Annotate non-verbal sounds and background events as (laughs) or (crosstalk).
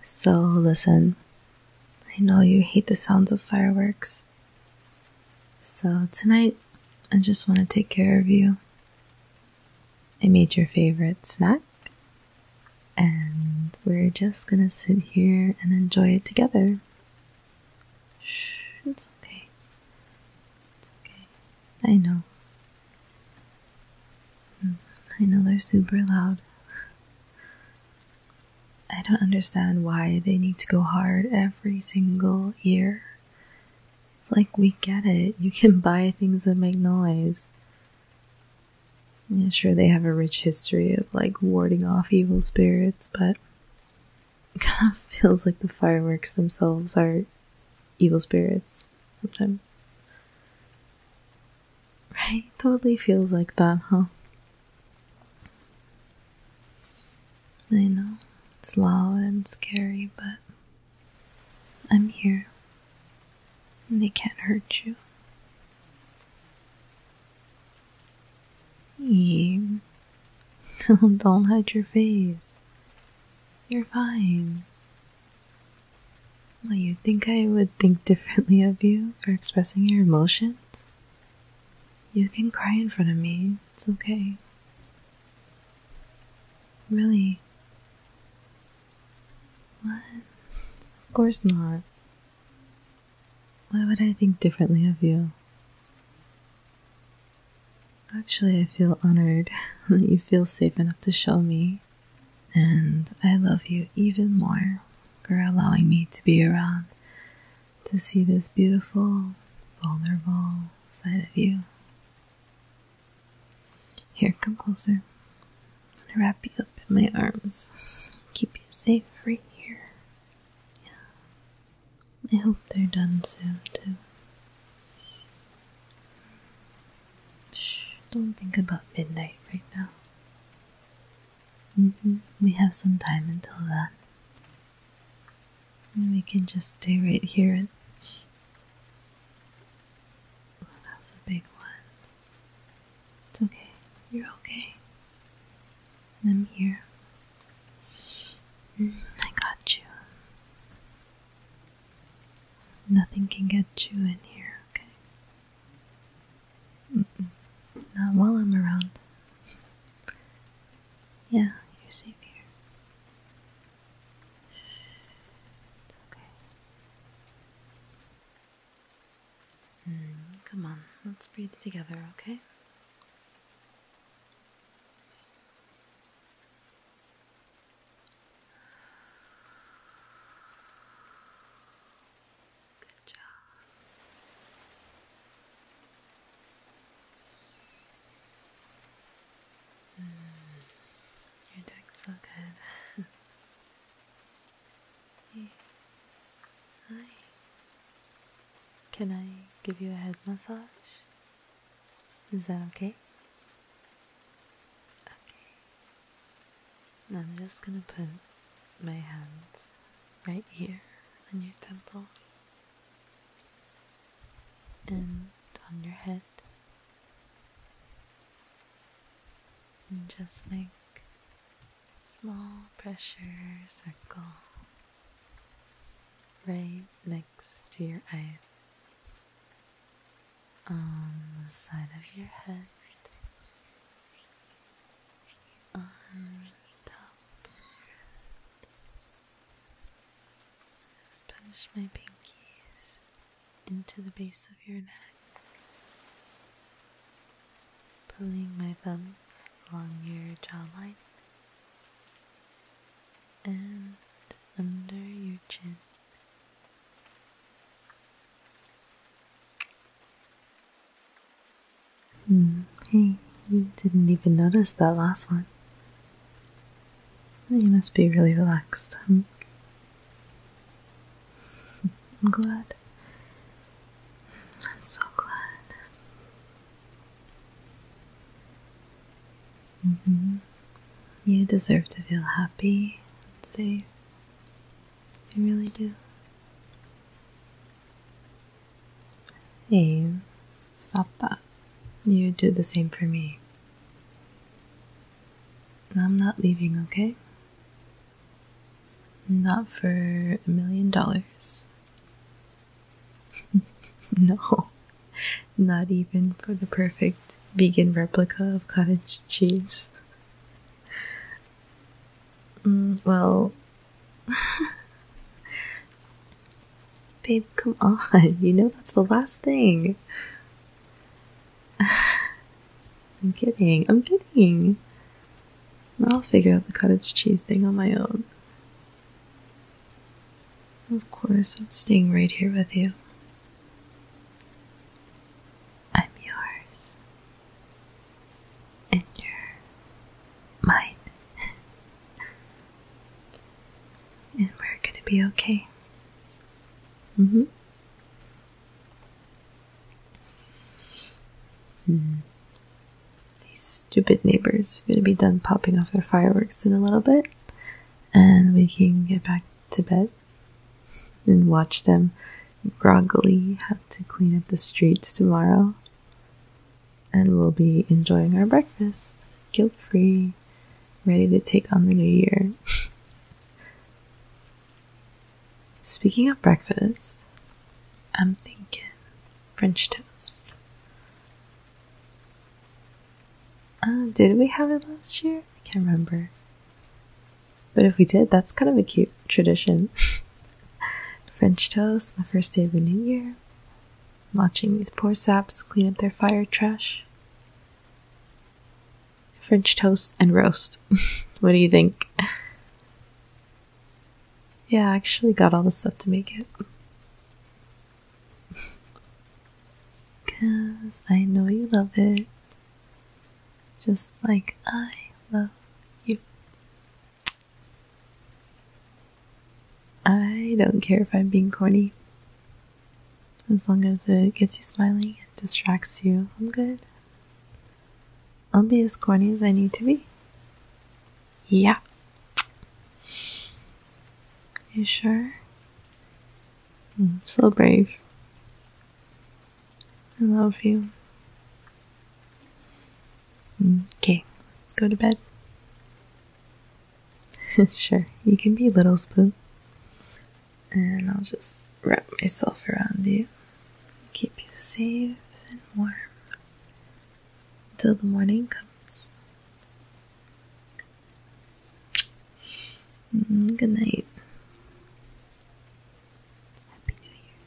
So, listen, I know you hate the sounds of fireworks. So, tonight, I just want to take care of you. I made your favorite snack, and we're just gonna sit here and enjoy it together. Shh, it's okay. It's okay. I know. I know they're super loud. I don't understand why they need to go hard every single year. It's like we get it. You can (laughs) buy things that make noise. sure, they have a rich history of like warding off evil spirits, but (laughs) it kind of feels like the fireworks themselves are evil spirits sometimes. Right? Totally feels like that, huh? I know it's loud and scary, but I'm here. They can't hurt you. Eee. (laughs) Don't hide your face. You're fine. Well, you think I would think differently of you for expressing your emotions? You can cry in front of me, it's okay. Really? What? Of course not. Why would I think differently of you? Actually, I feel honored (laughs) that you feel safe enough to show me and I love you even more for allowing me to be around to see this beautiful, vulnerable side of you. Here, come closer. I'm gonna wrap you up in my arms, keep you safe right here. I hope they're done soon, too. Shh, don't think about midnight right now. Mm-hmm, we have some time until then. we can just stay right here that was a big one. It's okay. You're okay. I'm here. Mm, I got you. Nothing can get you in here, okay? Not while I'm around. Yeah, you're safe here. It's okay. Hmm, come on, let's breathe together, okay? Good job. Hmm. you're doing so good. (laughs) Hi. Can I give you a head massage? Is that okay? Okay. And I'm just going to put my hands right here on your temples and on your head. And just make small pressure circles right next to your eyes on the side of your head, on top, just push my pinkies into the base of your neck, pulling my thumbs along your jawline and under your chin. Hmm. Hey, you didn't even notice that last one. You must be really relaxed. I'm glad. I'm so glad. -hmm. You deserve to feel happy and safe. I really do. Hey, stop that. You did the same for me. I'm not leaving, okay? Not for a million dollars. (laughs) No, not even for the perfect vegan replica of cottage cheese. Mm, well, babe, come on. (laughs) You know that's the last thing. (sighs) I'm kidding. I'm kidding. I'll figure out the cottage cheese thing on my own. Of course, I'm staying right here with you. I'm yours. And you're (laughs) and we're gonna be okay. Mm-hmm. hmm. These stupid neighbors are gonna be done popping off their fireworks in a little bit, and we can get back to bed and watch them groggily have to clean up the streets tomorrow. And we'll be enjoying our breakfast, guilt free, ready to take on the new year. (laughs) Speaking of breakfast, I'm thinking French toast. Uh, did we have it last year? I can't remember. But if we did, that's kind of a cute tradition. (laughs) French toast the first day of the new year. Watching these poor saps clean up their fire trash. French toast and roast. (laughs) what do you think? Yeah, I actually got all the stuff to make it. (laughs) Cause I know you love it just like I love you. I don't care if I'm being corny. As long as it gets you smiling, it distracts you, I'm good. I'll be as corny as I need to be. Yeah. You sure? So brave. I love you. Mm, okay, let's go to bed. (laughs) sure, you can be little spoon. And I'll just wrap myself around you. Keep you safe and warm until the morning comes. Mm, good night. Happy New Year.